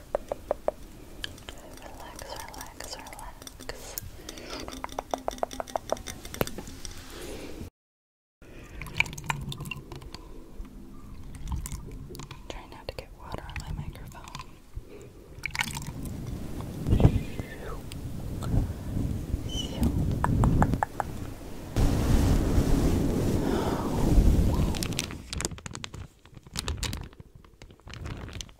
Relax, relax, relax. Try not to get water on my microphone.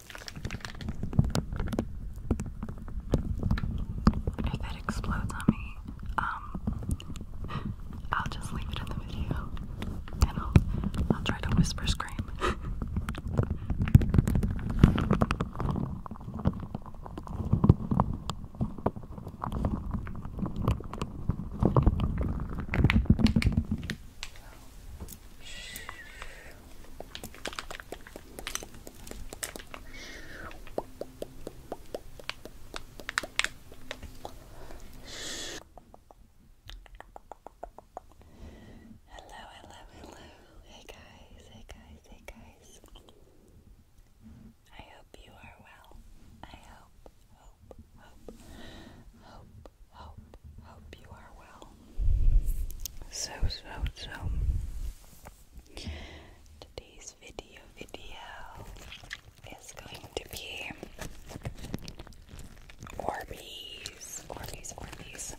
If it explodes on me, um, I'll just leave it in the video, and I'll I'll try to whisper scream. Hello, hello, hello. Hey guys, hey guys, hey guys. I hope you are well. I hope, hope, hope, hope hope, hope you are well. So, so, so, today's video, video is going to be Orbeez, Orbeez, Orbeez,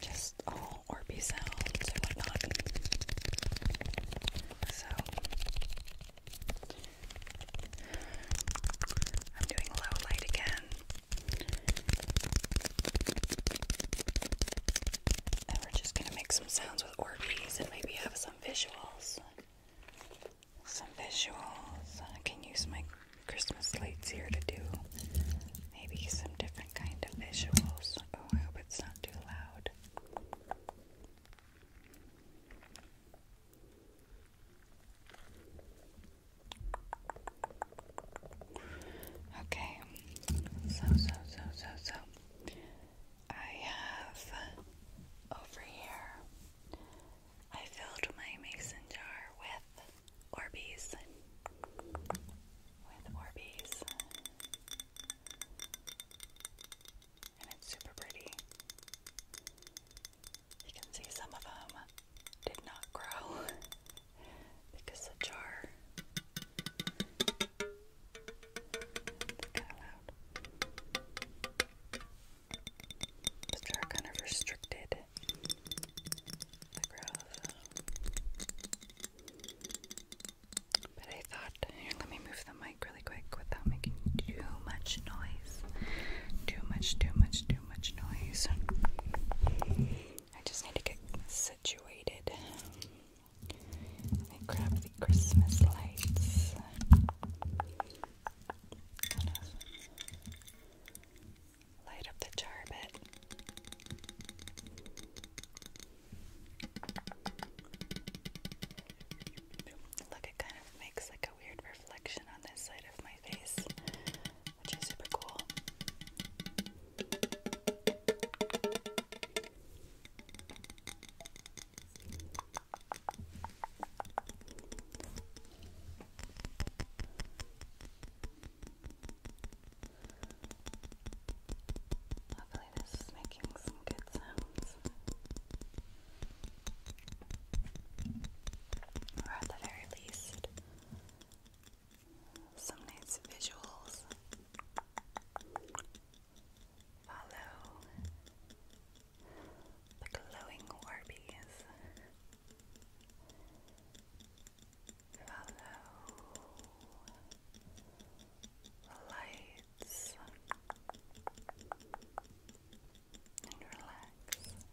just all Orbeez sounds and whatnot. So, I'm doing low light again. And we're just going to make some sounds with orgies and maybe have some visuals. Some visuals. I can use my Christmas lights here to do maybe some different kind of visuals. Oh, I hope it's not too loud. Okay, so, so, so, so, so, I have over here, I filled my mason jar with Orbeez, with Orbeez, and it's super pretty. You can see some of them did not grow because the jar. Kind of loud. The jar kind of restricted growth. But I thought, here, let me move the mic really quick without making too much noise. Too much, too much, too too much noise. I just need to get situated. I grab the Christmas lights. Light up the jar Look, it kind of makes like a weird reflection on this side of my face which is super cool. Hopefully, this is making some good sounds. Or at the very least, some nice visuals follow the glowing Orbeez. Follow the lights and relax.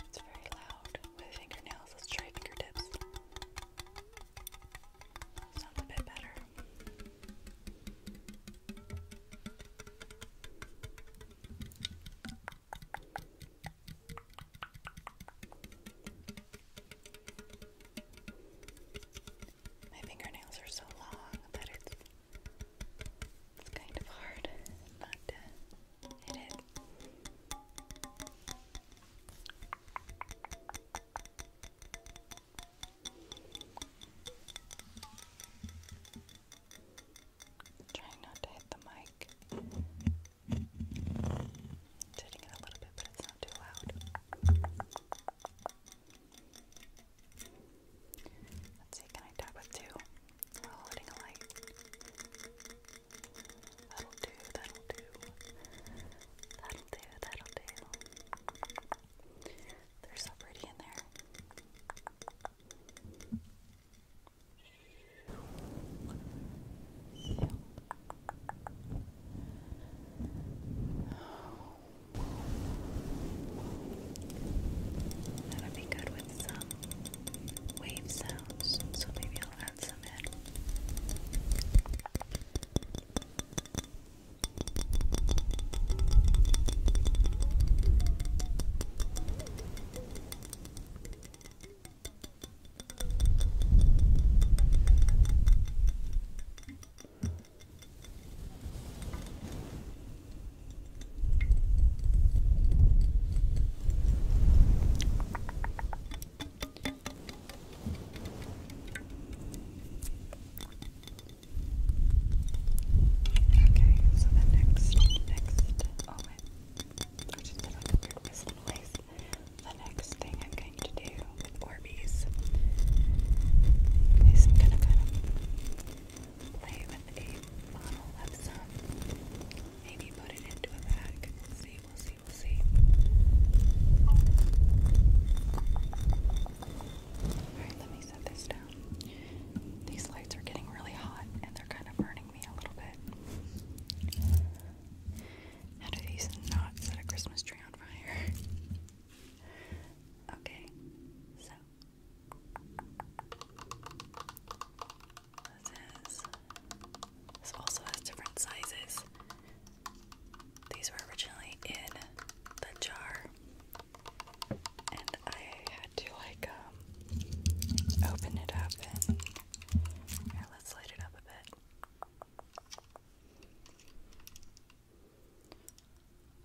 It's very loud with fingernails. Let's try fingertips. Sounds a bit better. My fingernails are so long that it's it's kind of hard not to hit Trying not to hit the mic. Turning it a little bit, but it's not too loud. Let's see, can I tap with two while a light? That'll do, that'll do. That'll do, that'll do. They're so pretty in there. That'll be good with some wave sounds, so maybe I'll add some in. Okay, so the next, next, oh wait, I just did like a weird whistle noise the next thing I'm going to do with Orbeez is I'm going to kind of play with a bottle some, maybe put it into a bag. see, we'll see, we'll see. Alright, let me set this down. These lights are getting really hot and they're kind of burning. How do these not set a Christmas tree on fire? okay, so this also has different sizes. These were originally in the jar, and I had to like um, open it up let's light it up a bit.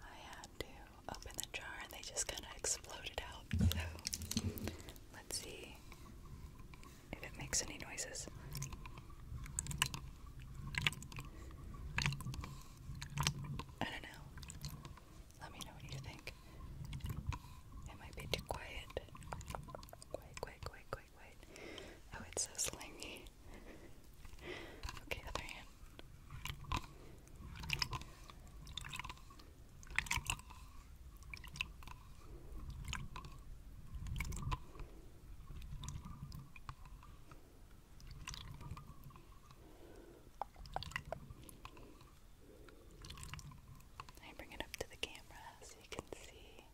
I had to open the jar and they just kind of exploded out. So let's see if it makes any noises. I don't know. Let me know what you think. It might be too quiet. Quiet, quiet, quiet, quiet, quiet. Oh, it's so slimy. okay, other hand. I bring it up to the camera so you can see.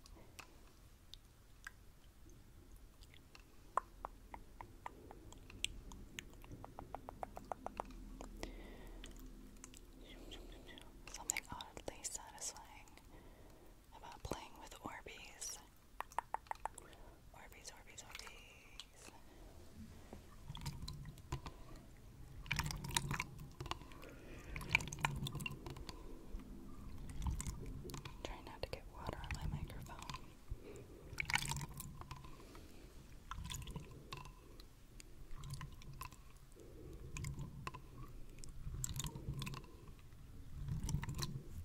Something oddly satisfying about playing with Orbeez. Orbeez, Orbeez, Orbeez. Try not to get water on my microphone.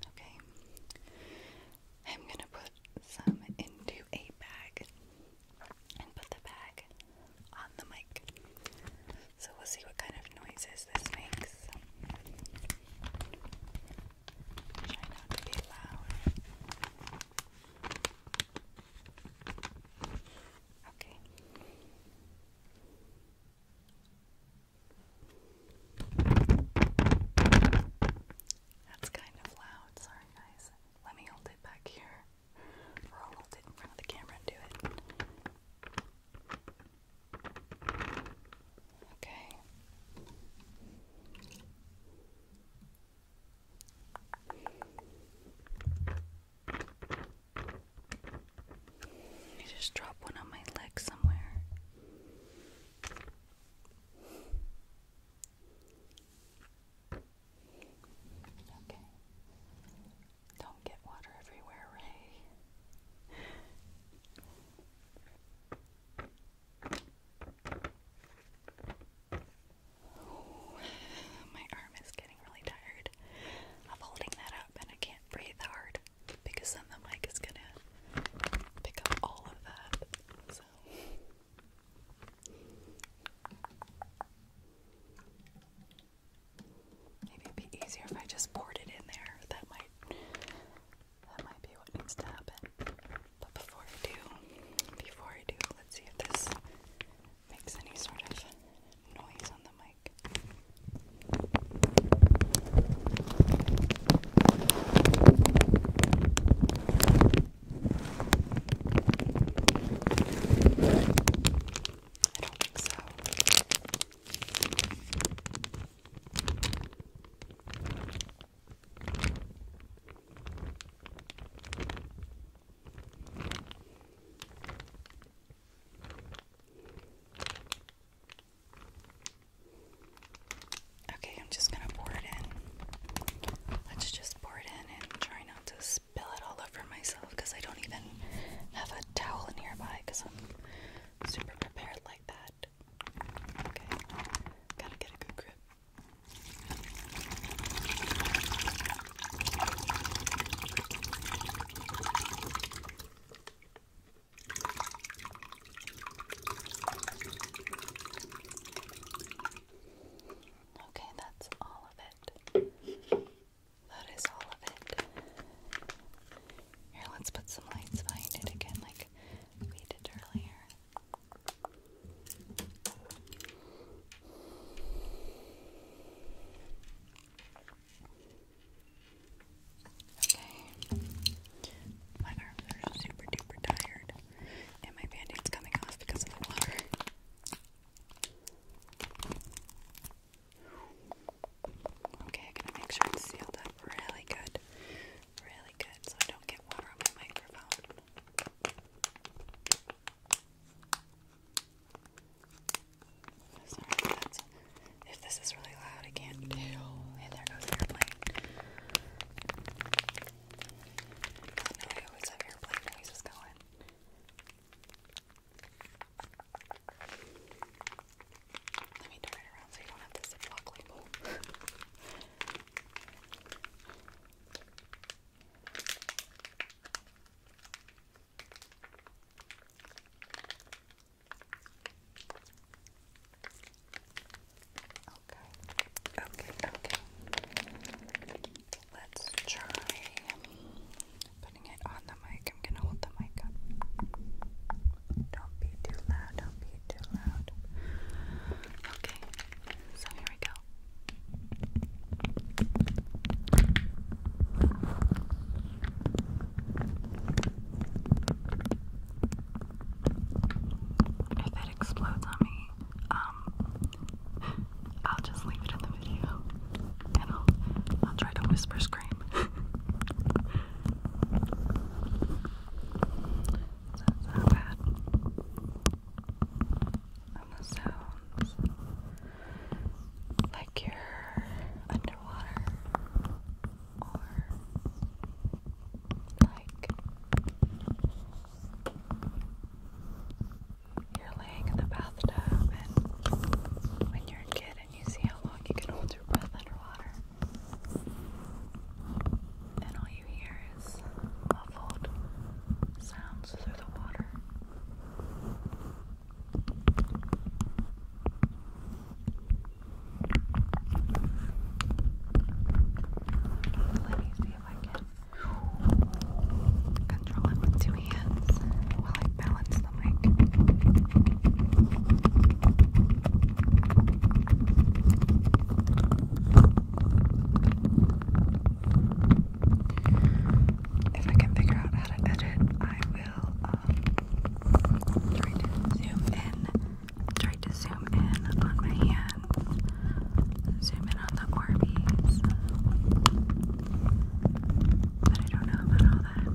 Okay. I'm going to put some into a bag and put the bag on the mic. So we'll see what kind of noises this makes. Try not to be loud. Okay. That's kind of loud. Sorry, guys. Let me hold it back here. Or I'll hold it in front of the camera and do it. Okay. You just dropped one on my leg somewhere. Okay. Don't get water everywhere, Ray. Oh, my arm is getting really tired of holding that up, and I can't breathe hard because then the mic is gonna pick up all of that. So, Maybe it'd be easier if I just poured it in there. That might that might be what needs to happen. But before I do, before I do, let's see if this makes any sort of noise on the mic. I don't think so. Okay, I'm just going to pour it in. Let's just just pour it in and try not to spill it all over myself because I don't even have a towel nearby because I'm super prepared like that. Okay, gotta get a good grip. Okay, that's all of it. That is all of it. Here, let's put some lights behind it again, like we did earlier. Okay. My arms are super duper tired and my bandage is coming off because of the water. Okay, I'm to make sure it's sealed up really good. Really good so I don't get water on my microphone. Sorry if this is really loud I can't and there goes airplane. I always have airplane noises going. Let me turn it around so you don't have the ziplock label. Okay, okay, okay. Let's try putting it on the mic. I'm gonna hold the mic up. Don't be too loud, don't be too loud. Okay, so here we go explodes on me, um, I'll just leave it in the video, and I'll, I'll try to whisper scream. That's not bad. the sounds like you're underwater or like you're laying in the bathtub, and when you're a kid, and you see how long you can hold your breath underwater, and all you hear is muffled sounds through the water. Let me see if I with two hands while I balance the mic. If I can figure out how to edit, I will um, try to zoom in try to zoom in on my hand. zoom in on the Orbeez. But I don't know about all that.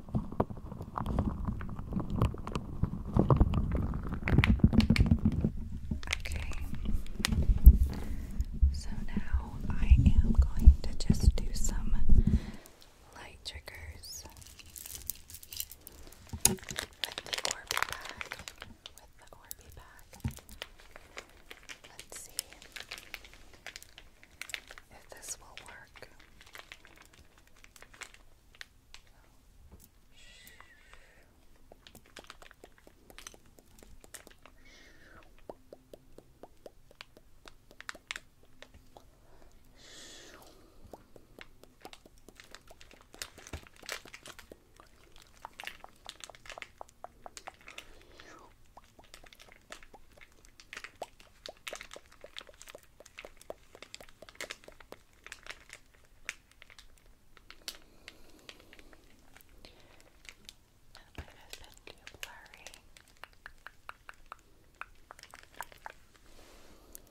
Okay. So now I am going to just do some light triggers with the Orby bag. bag. Let's see if this will work. That might have been too blurry.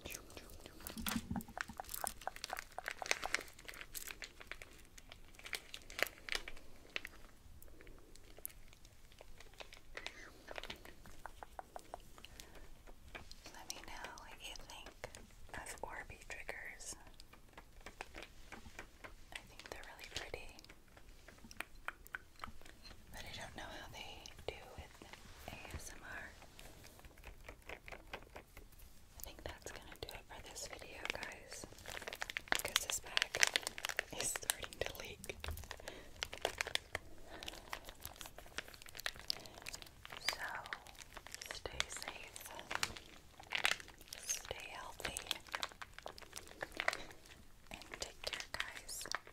Okay. Let me know what you think of Orby triggers. I think they're really pretty. But I don't know how they do with ASMR. I think that's gonna do it for this video, guys. Because this bag is starting to leak so stay safe, stay healthy, and take care, guys.